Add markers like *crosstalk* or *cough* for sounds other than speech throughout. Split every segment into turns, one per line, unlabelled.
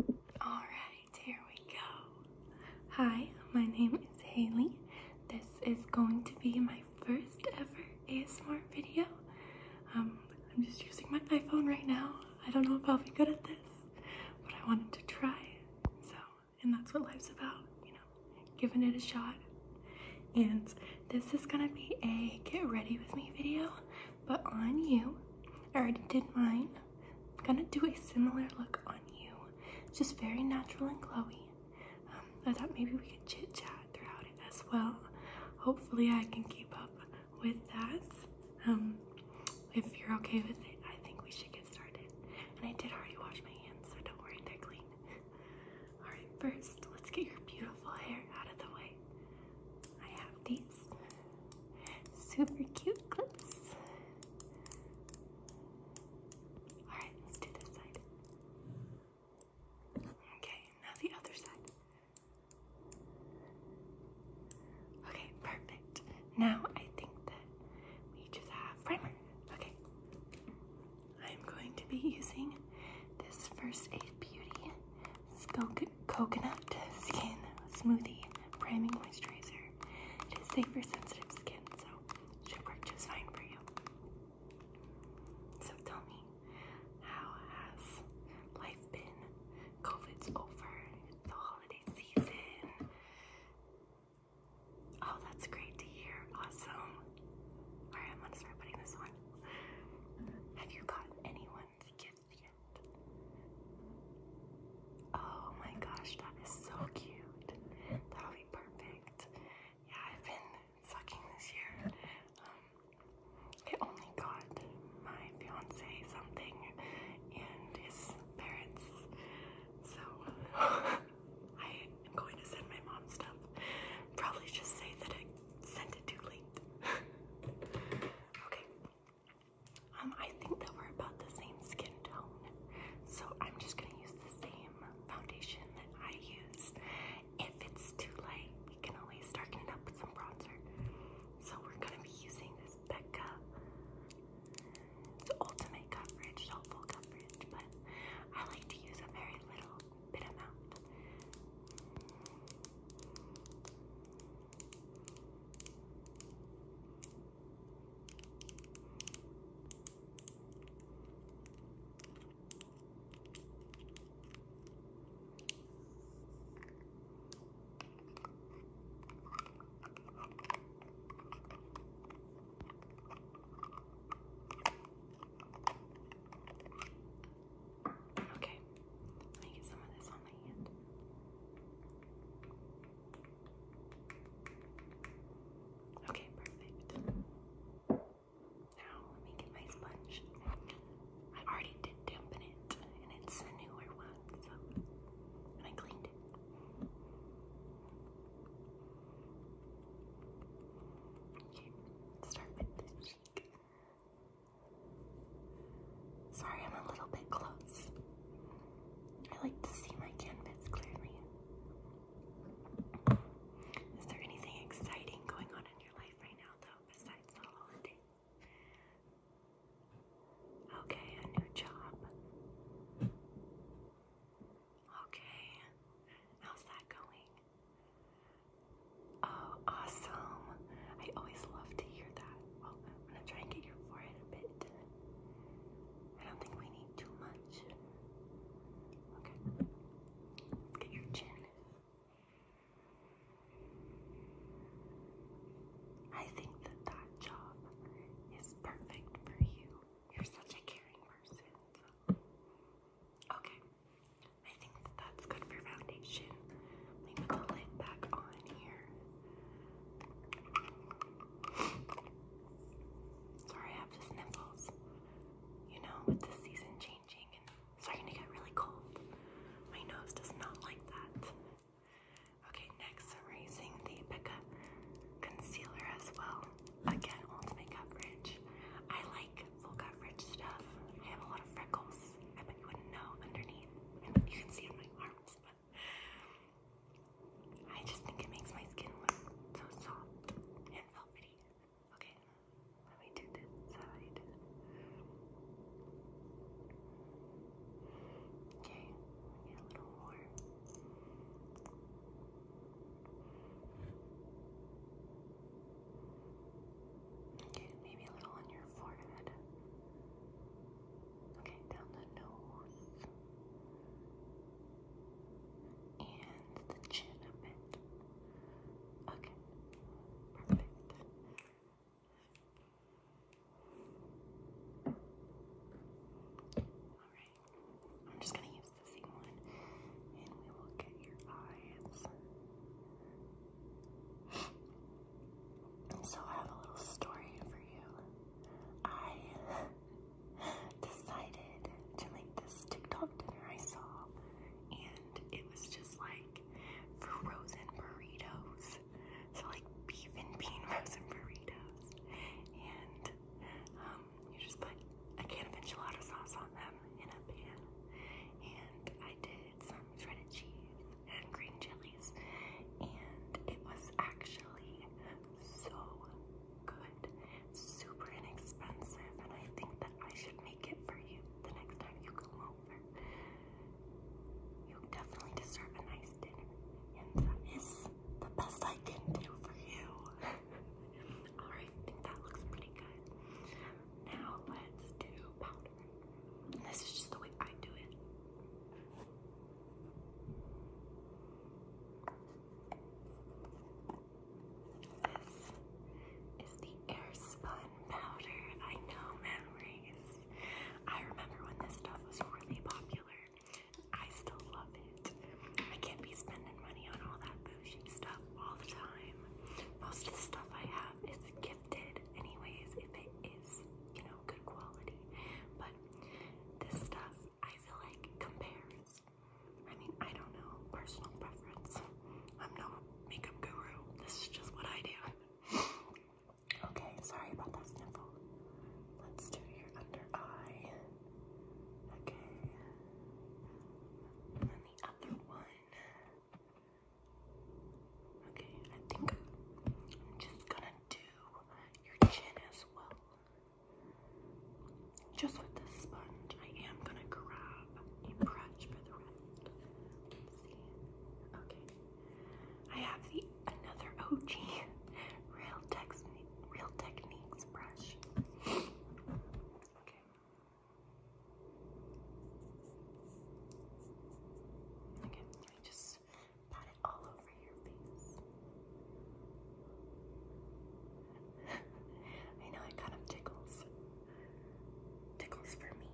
Alright, here we go. Hi, my name is Haley. This is going to be my first ever ASMR video. Um, I'm just using my iPhone right now. I don't know if I'll be good at this, but I wanted to try. So, and that's what life's about, you know, giving it a shot. And this is gonna be a get ready with me video but on you. I already did mine. I'm gonna do a similar look on you. just very natural and glowy. Um, I thought maybe we could chit chat throughout it as well. Hopefully, I can keep up with that. Um, if you're okay with it, I think we should get started. And I did already wash my hands, so don't worry, they're clean. Alright, first, let's get your beautiful hair out of the way. I have these super cute clips. Alright, let's do this side. Okay, now the other side. Okay, perfect. Now I think that we just have primer. Okay. I'm going to be using this First Aid Beauty Spoken coconut skin smoothie priming moisturizer. It is safe for sensitive skin, so should work just fine for you. So tell me, how has life been? COVID's over, the holiday season. Oh, that's great to hear. Awesome. Alright, I'm gonna start putting this on. Have you gotten anyone's gift? Oh my gosh, that is so cute. That'll be perfect. Yeah, I've been sucking this year. Um, only got my fiance something and his parents. So *laughs* I am going to send my mom stuff. Probably just say that I sent it too late. *laughs* okay. Um, I think that we're about the same skin tone, so I'm just gonna use the same foundation that I used. If it's too light, we can always darken it up with some bronzer. So we're gonna be using this Becca. It's ultimate coverage, not full coverage, but I like to use a very little bit amount. Okay, let me get some of this on my hand. Okay, perfect. Now let me get my sponge. I already did dampen it, and it's a newer one, so I cleaned it. Okay, start with the cheek. Sorry, I'm a little bit close. I like to see my canvas clearly. Is there anything exciting going on in your life right now, though, besides the holiday? Okay, a new job. Okay, how's that going? Oh, awesome. I always love to hear that. I'm gonna try and get your forehead a bit I don't think we need too much. Okay. get your chin. I think that that job is perfect for you. You're such a caring person. Okay. I think that that's good for foundation. Let me put the lid back on here. Sorry, I have the sniffles. You know, with the season changing and starting to get really cold, my nose does not like that. Okay, next, I'm using the Becca concealer as well. Again, Ultimate Coverage. I like full coverage stuff. I have a lot of freckles. I bet you wouldn't know underneath. I bet you can see in my arms, I just think it makes my skin look so soft and velvety. Okay, let me do this side. Okay, get a little more. Okay, maybe a little on your forehead. Okay. Okay, down the nose. And the chin a bit. Okay, perfect. Alright, I'm just gonna use the same one and we will get your eyes. so I have a little story for you. I decided to make this TikTok dinner I saw, and it was just like frozen burritos. So, like beef and bean *laughs* frozen burritos. And um, you just put a can of enchilada sauce on them in a pan. And I did some shredded cheese and green chili and it was actually so good, super inexpensive, and I think that I should make it for you the next time you come over. You definitely deserve a nice dinner, and that is the best I can do for you. *laughs* Alright, I think that looks pretty good. Now let's do powder. This is just the way I do it. This is the airspun powder. I know memories. I remember when this stuff was really popular. I still love it. I can't be spending money on all that bougie stuff all the time. Most of the stuff I have is gifted, anyways, if it is, you know, good quality. But this stuff I feel like compares. I mean, I don't know, personal preference. I'm no makeup guru. This is just what I do. *laughs* okay, sorry about that sniffle. Let's do your under eye. Okay. And then the other one. Okay, I think I'm just gonna do your chin as well. Just with this sponge, I am gonna grab a brush for the rest. Okay. I have the another OG *laughs* Real Tex Real Techniques brush. Okay. Okay, I just pat it all over your face. *laughs* I know it kind of tickles. Tickles for me.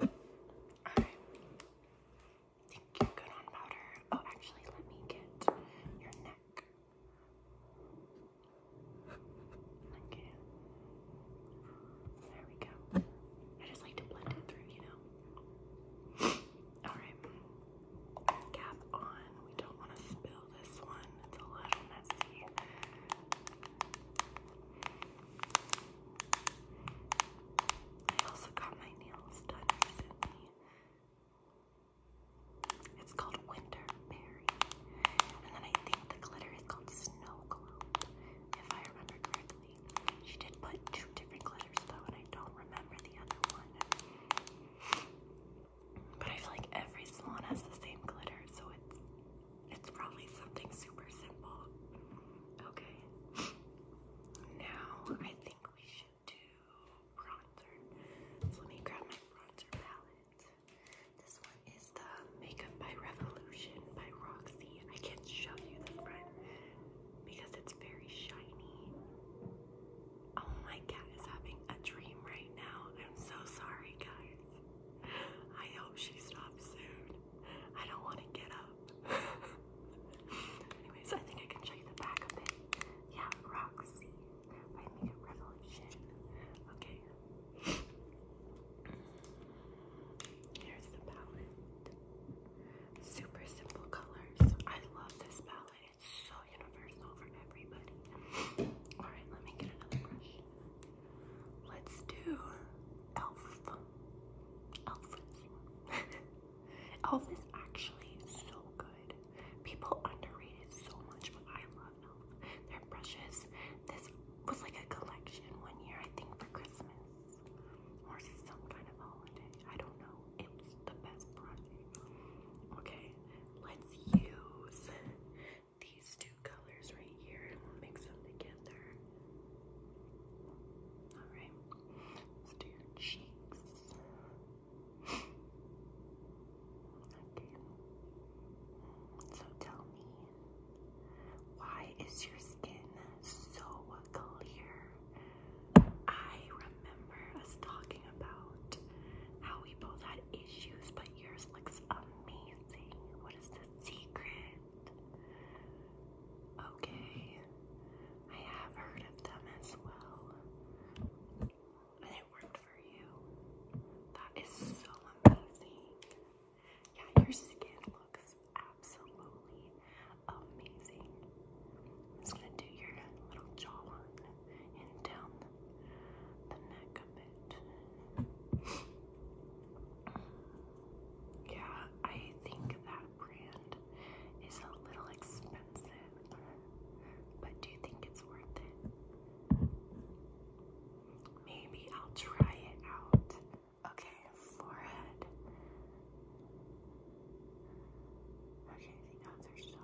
Alright. Think you're good on powder. Oh, actually, let me get your neck. Okay. There we go. I just like to blend it through, you know. *laughs* Alright. Cap on. We don't want to spill this one. It's a little messy. I also got my nails done recently. It's called Winter Berry. And then I think the glitter is called Snow Globe if I remember correctly. She did put two different glitters though, and I don't remember the other one. But I feel like every salon has the same glitter, so it's it's probably something super simple. Okay. Now I think we should do bronzer. let me grab my bronzer palette. This one is the Makeup by Revolution by Roxy. I can't show you the front because it's very shiny. Oh, my cat is having a dream right now. I'm so sorry, guys. I hope she stops soon. I don't want to get up. *laughs* Anyways, I think I can show you the back of it. Yeah, Roxy by Makeup Revolution. Okay, Here's the palette. Super simple colors. I love this palette. It's so universal for everybody. Alright, let me get another brush. Let's do Elf. Elf is *laughs* actually so good. People underrated so much, but I love Elf. Their brushes. This was like a collection one year, I think, for Christmas or some kind of holiday. I don't know. It's the best project. Okay, let's use these two colors right here and mix them together. Alright, let do your cheeks. Okay. So tell me, why is your skin so clear? I remember us talking about how we both had issues, but yours looks amazing. What is the secret? Okay, I have heard of them as well. And it worked for you. That is so amazing. Yeah, your skin looks absolutely amazing. just gonna do your little jawline and down the neck a bit. yeah, I think that brand is a little expensive, but do you think it's worth it? Maybe I'll try it out Okay, forehead. Okay, the other side.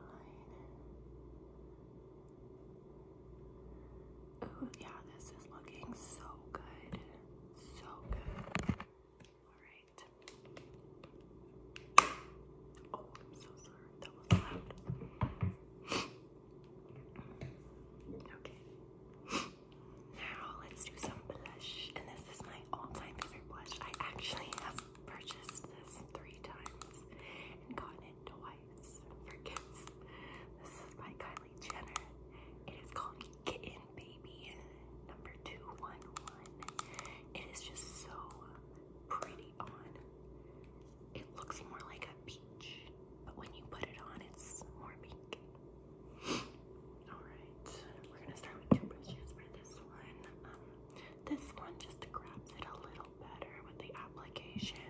Ooh, yeah, this is looking so good. So good. Alright. Oh, I'm so sorry. That was loud. *laughs* okay. Now let's do some blush. And this is my all-time favorite blush. I actually have purchased this three times and gotten it twice for gifts. This is by Kylie Jenner. It is called Kitten Baby number 211. It is just so pretty on. It looks more like a peach, but when you put it on, it's more pink. Alright, we're gonna start with two brushes for this one. Um, this one just grabs it a little better with the application.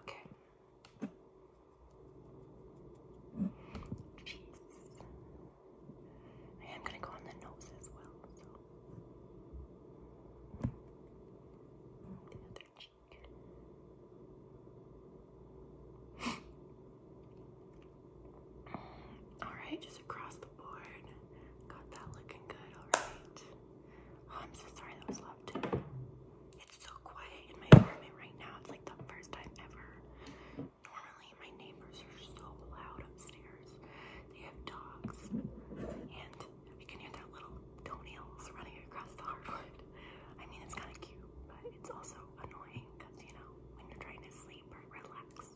Okay. Jeez. I am gonna go on the nose as well, *sighs* Alright, just across the board. Got that looking good, alright. Oh, I'm so sorry that was loved. It's so quiet in my apartment right now. It's like the first time ever. Normally, my neighbors are so loud upstairs. They have dogs, and you can hear their little toenails running across the hardwood. I mean, it's kind of cute, but it's also annoying because you know when you're trying to sleep or relax,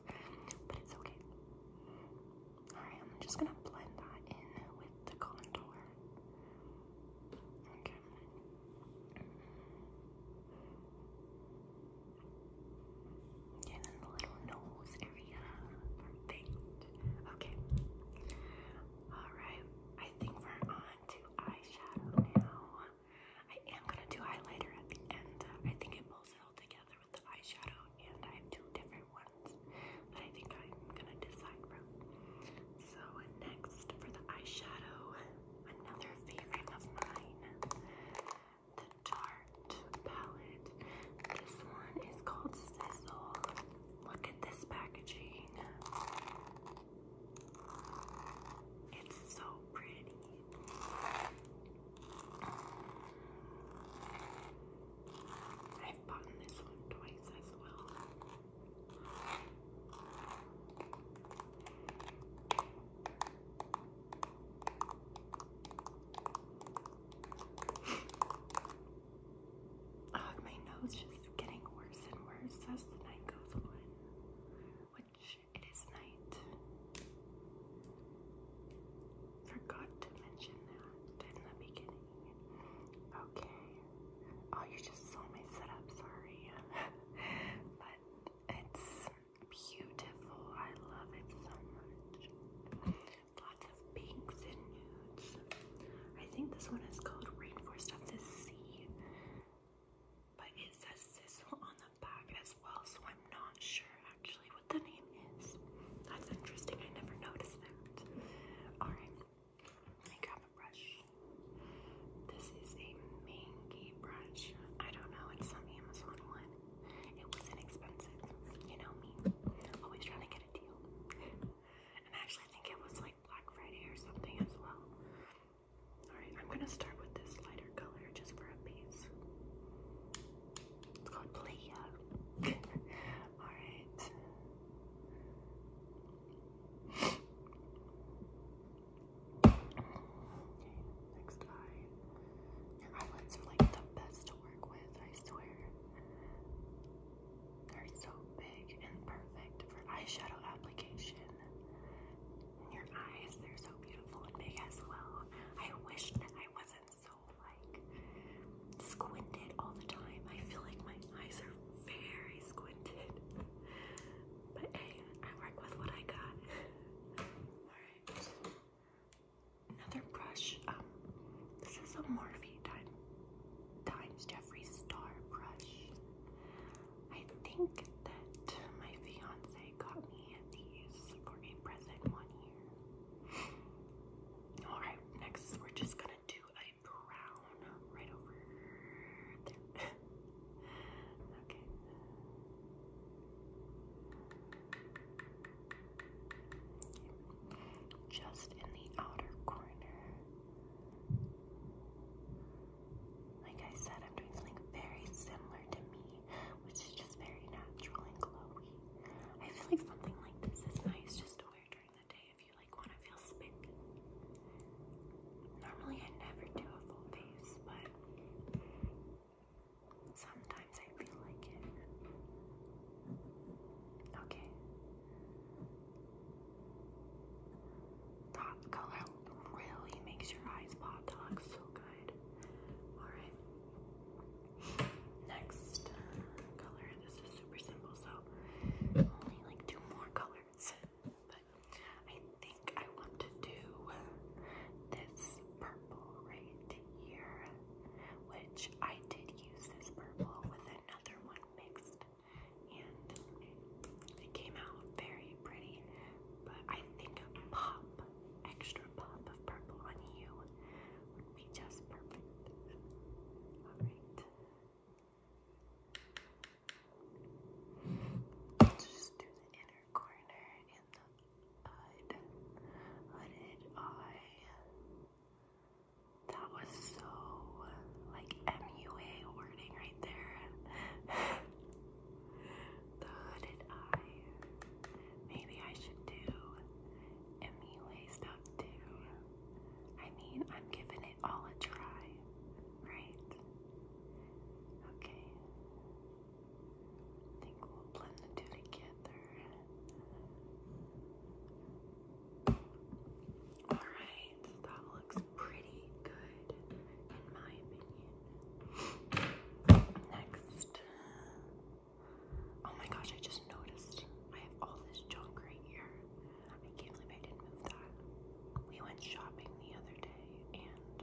but it's okay. Alright, I'm just gonna blend that in with the contour. Okay. and then the little nose area. Perfect. Okay. Alright. I think for on eyeshadow now. I am gonna do highlighter at the end. I think it pulls it all together with the eyeshadow, and I have two different ones that I think I'm gonna decide from. So next for the eyeshadow, another favorite of mine, the Tarte palette. This one is called Sizzle. Look at this packaging. It's so pretty. I've bought this one twice as well. oh, *laughs* my nose is getting worse and worse as the night goes on which it is night. Forgot to mention that in the beginning. Okay. Oh, you just saw my setup, sorry. *laughs* but it's beautiful. I love it so much. Lots of pinks and nudes. I think this one is called Rainforest of the Sea but it says Sizzle on the back as well, so I'm not sure actually what the name is. That's interesting, I never noticed that. Alright, I grab a brush. This is a mangy brush. I don't know, it's some Amazon one. It was inexpensive, you know me. Always trying to get a deal. *laughs* And I actually think it was like Black Friday or something as well. Alright, I'm gonna start with this lighter color just for a piece. It's called Playa. *laughs* Alright. next eye. Your eyelids are like the best to work with, I swear. They're so big and perfect for eyeshadow application your eyes, they're so beautiful and big as well. I wish that I wasn't so like squinted all the time. I feel like my eyes are very squinted. *laughs* But hey, I work with what I got. *laughs* Alright. Another brush. Um, this is a Morphe times Jeffree Star brush. I think that my fiance got me these for a present one year. Alright, next we're just gonna do a brown right over there. *laughs* okay. Just in the outer corner. Like I said, I'm doing something very similar to me, which is just very natural and glowy. I feel like something like this is nice just to wear during the day if you like want to feel spiky. Normally I never do a full face, but sometimes I feel like it. Okay. Top color really makes your eyes pop. That looks so good. Alright. Next uh, color. This is super simple, so only like two more colors. But I think I want to do this purple right here, which I did use this purple with another one mixed, and it came out very very pretty, but I think a pop, extra pop of purple on you would be just perfect. Alright. Let's just do the inner corner and the eye. That was so like MUA wording right there. *laughs* The hooded eye. Maybe I should do MUA stuff too. I mean, I'm giving it all a try, right? Okay. think we'll blend the two together. Alright, that looks pretty Next. Oh my gosh, I just noticed I have all this junk right here. I can't believe I didn't move that. We went shopping the other day and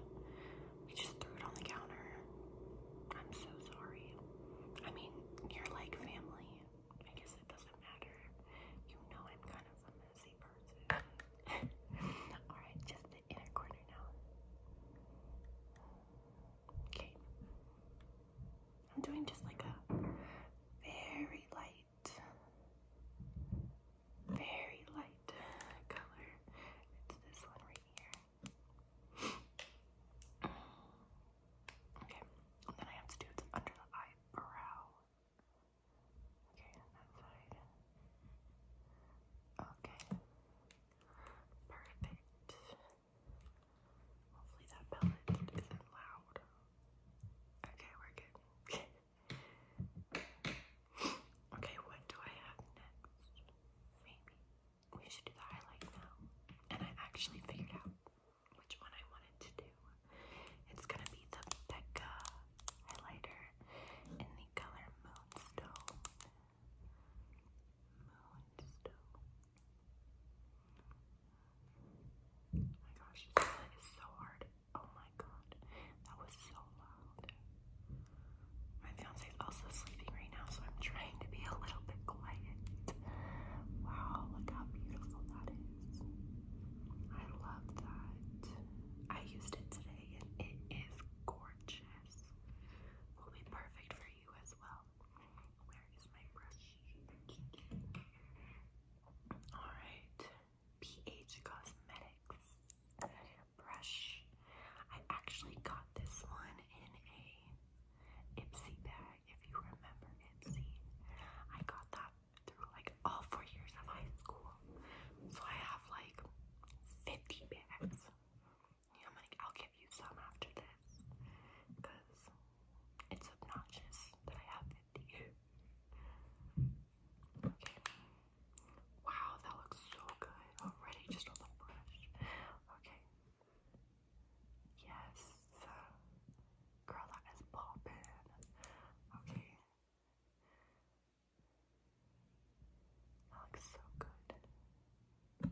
we just threw it on the counter. I'm so sorry. I mean, you're like family. I guess it doesn't matter. You know I'm kind of *laughs* Alright, just the inner corner now. Okay. I'm doing just like a very light, very light color. It's this one right here. Okay, and then I have to do it under the eyebrow. Okay, on that Okay. Perfect. Hopefully that pellet isn't loud. Okay, we're good. *laughs* okay, what do I have next? Maybe we should do the highlight now. And I actually figured out which one I wanted to do. It's gonna be the Becca highlighter in the color Moonstone. Moonstone. my gosh, this palette is so hard. Oh my god, that was so loud. My fiance is also sleeping right now, so I'm trying to be a little bit quiet. Wow, look how beautiful that is. I love that. I used it today and it is gorgeous oranges will be perfect for you as well. Where is my brush? Alright, PH Cosmetics brush. I actually got this one in a Ipsy bag, if you remember Ipsy. I got that through like all four years of high school. So I have like 50 bags. I'm like, I'll give you some after this because it's obnoxious that I have 50. *laughs* Okay. Wow, that looks so good already just on the brush. Okay. Yes. Girl, that is poppin'. Okay. That looks so good.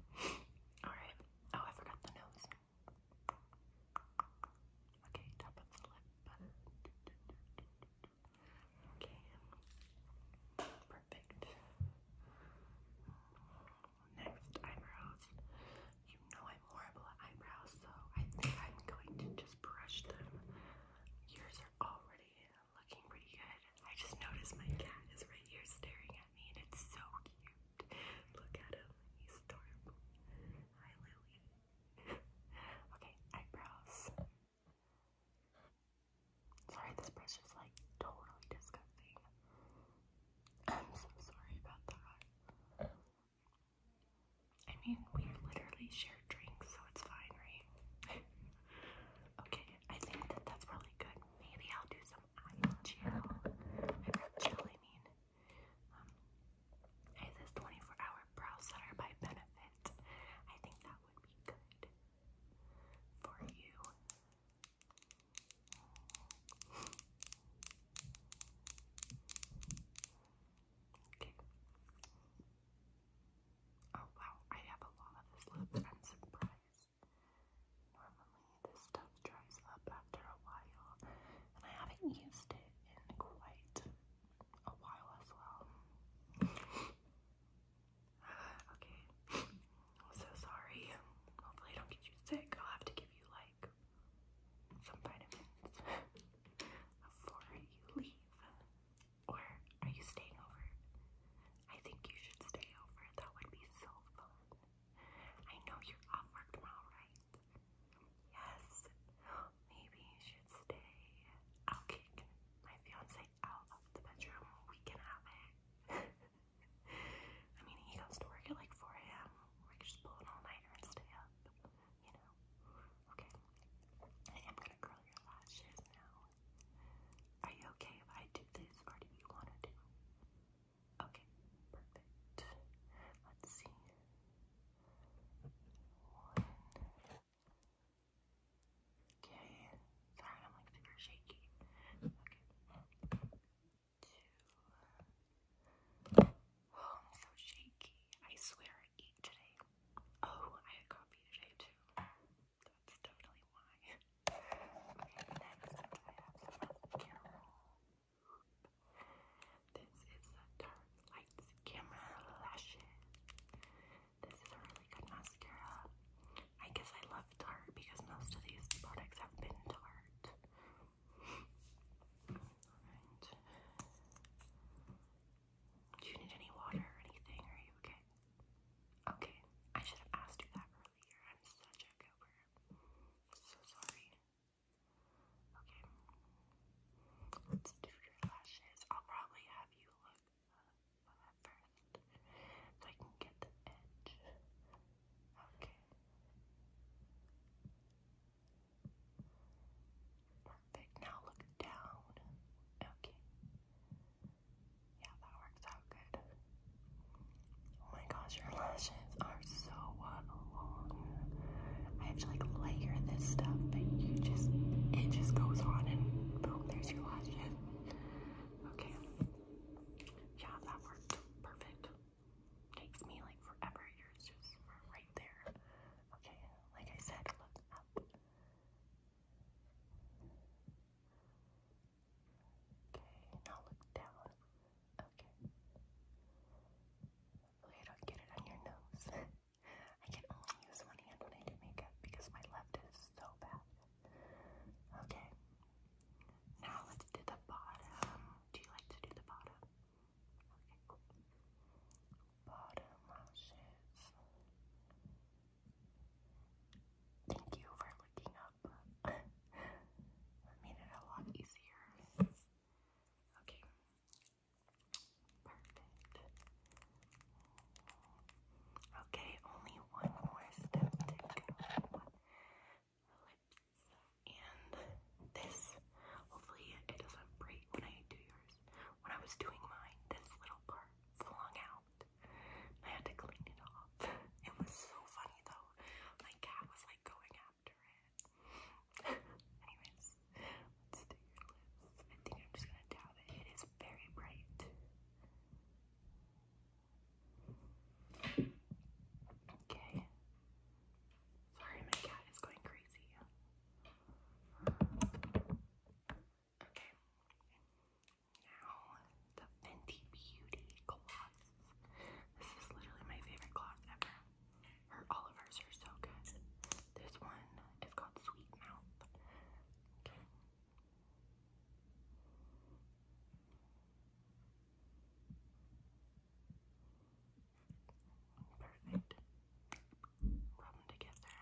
Alright. Oh, I forgot the nose. Okay, top of the lip. Okay. Perfect. Next, eyebrows. You know I'm horrible at eyebrows, so I think I'm going to just brush them. Yours are already um, looking pretty good. I just noticed my cat is right here staring at me, and it's so cute. Look at him, he's adorable. Hi, Lily. *laughs* okay, eyebrows. Sorry, this brush is like totally disgusting. I'm so sorry about that. I mean, we literally share drinks, so it's fine, right? *laughs* okay, I think that that's really good. Maybe I'll do some eye gel. I gel, I mean. Um, I this 24-hour brow setter by Benefit. I think that would be good for you. Okay. Oh wow, I have a lot of this left. I'm surprised. Normally, this stuff dries up after a while, and I haven't used it in quite a while as well. *sighs* okay, so sorry. Hopefully, I don't get you sick. I'll have to give you like some vitamins *laughs* before you leave. Or are you staying over? I think you should stay over. That would be so fun. I know you're off work tomorrow, right? Yes. Maybe you should stay. I'll kick my fiance out of the bedroom. We can have *laughs* I mean, he goes to work at like 4 a.m. We can just pull an all nighter and stay up. You know? Okay. I am gonna curl your lashes now. Are you okay if I do this, or do you want to do? Okay, perfect. Let's see. One. Okay. Oh, I'm so shaky. I swear I eat today. Oh, I had coffee today too. That's totally why. Next, I have some This is the Dark Lights Camera Lashes. This is a really good mascara. I guess I love dark because most of these products have been dark. Do you need any water or anything? Are you okay? Okay, I should have asked you that earlier. I'm such a goober. so sorry. Okay, let's do your lashes. I'll probably have you look up first so I can get the edge. Okay. Perfect. Now look down. Okay. Yeah, that worked out good. Oh my gosh, your lashes are so uh, long. I have to like layer this stuff, but you just, it just goes on and boom, there's your lashes. Okay. Yeah, that worked perfect. Takes me like forever. Yours just right there. Okay, like I said, look up. Okay, now look down. Okay. Hopefully I don't get it on your nose. *laughs* I can only use one hand when I do makeup because my left is so bad. Okay. Now let's do the bottom. Do you like to do the bottom? Okay, cool. Bottom lashes. Thank you for looking up. *laughs* that made it a lot easier. Okay. Perfect. Okay, only one more step to go. And this. Hopefully it doesn't break when I do yours. When I was doing mine, this little part flung out. I had to clean it off. It was so funny though. My cat was like going after it. Anyways, let's do your lips. I think I'm just gonna dab it. It is very bright. Okay. Sorry, my cat is going crazy. Okay. Now, the Fenty Beauty gloss. This is literally my favorite gloss ever. Her all of hers are so good. This one is called Sweet Mouth. Okay. Perfect. Rub them together.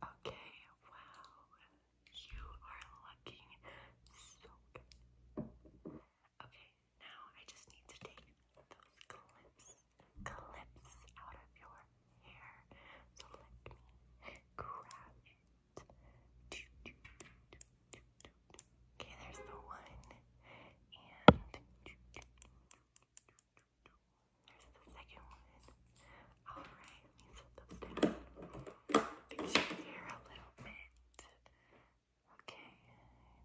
Okay, wow. You are looking so good. Okay, now I just need to take those clips, clips out of your hair. So let me grab it. Okay, there's the one. And there's the second one. All right, let me set those down. Fix your hair a little bit. Okay,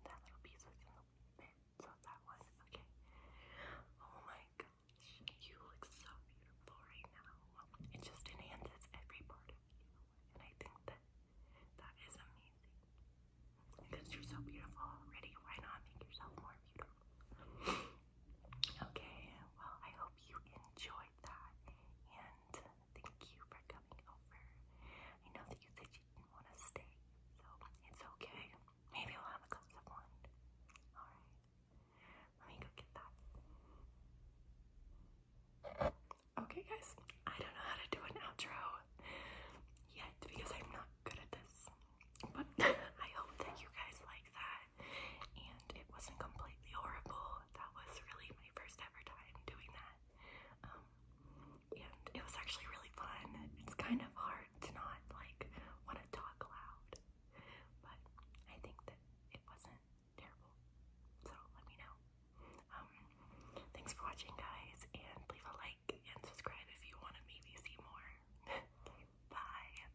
that little piece was a little bit, so that was okay. Oh my gosh, you look so beautiful right now. It just enhances every part of you, and I think that that is amazing. Because you're so beautiful already, why not make yourself more beautiful? Okay, well, I hope you enjoyed that, and thank you for coming over. I know that you said you didn't want to stay, so it's okay. Maybe we'll have a glass of wine. Alright, let me go get that. Okay, guys, I don't know how to do an outro yet because I'm not good at this, but *laughs* I hope that you guys like that and it wasn't completely horrible. That was really my first ever time doing that, um, and it was actually really fun. It's kind of hard to not like want to talk loud, but I think that it wasn't terrible. So let me know. Um, thanks for watching, guys, and leave a like and subscribe if you want to maybe see more. *laughs* Bye.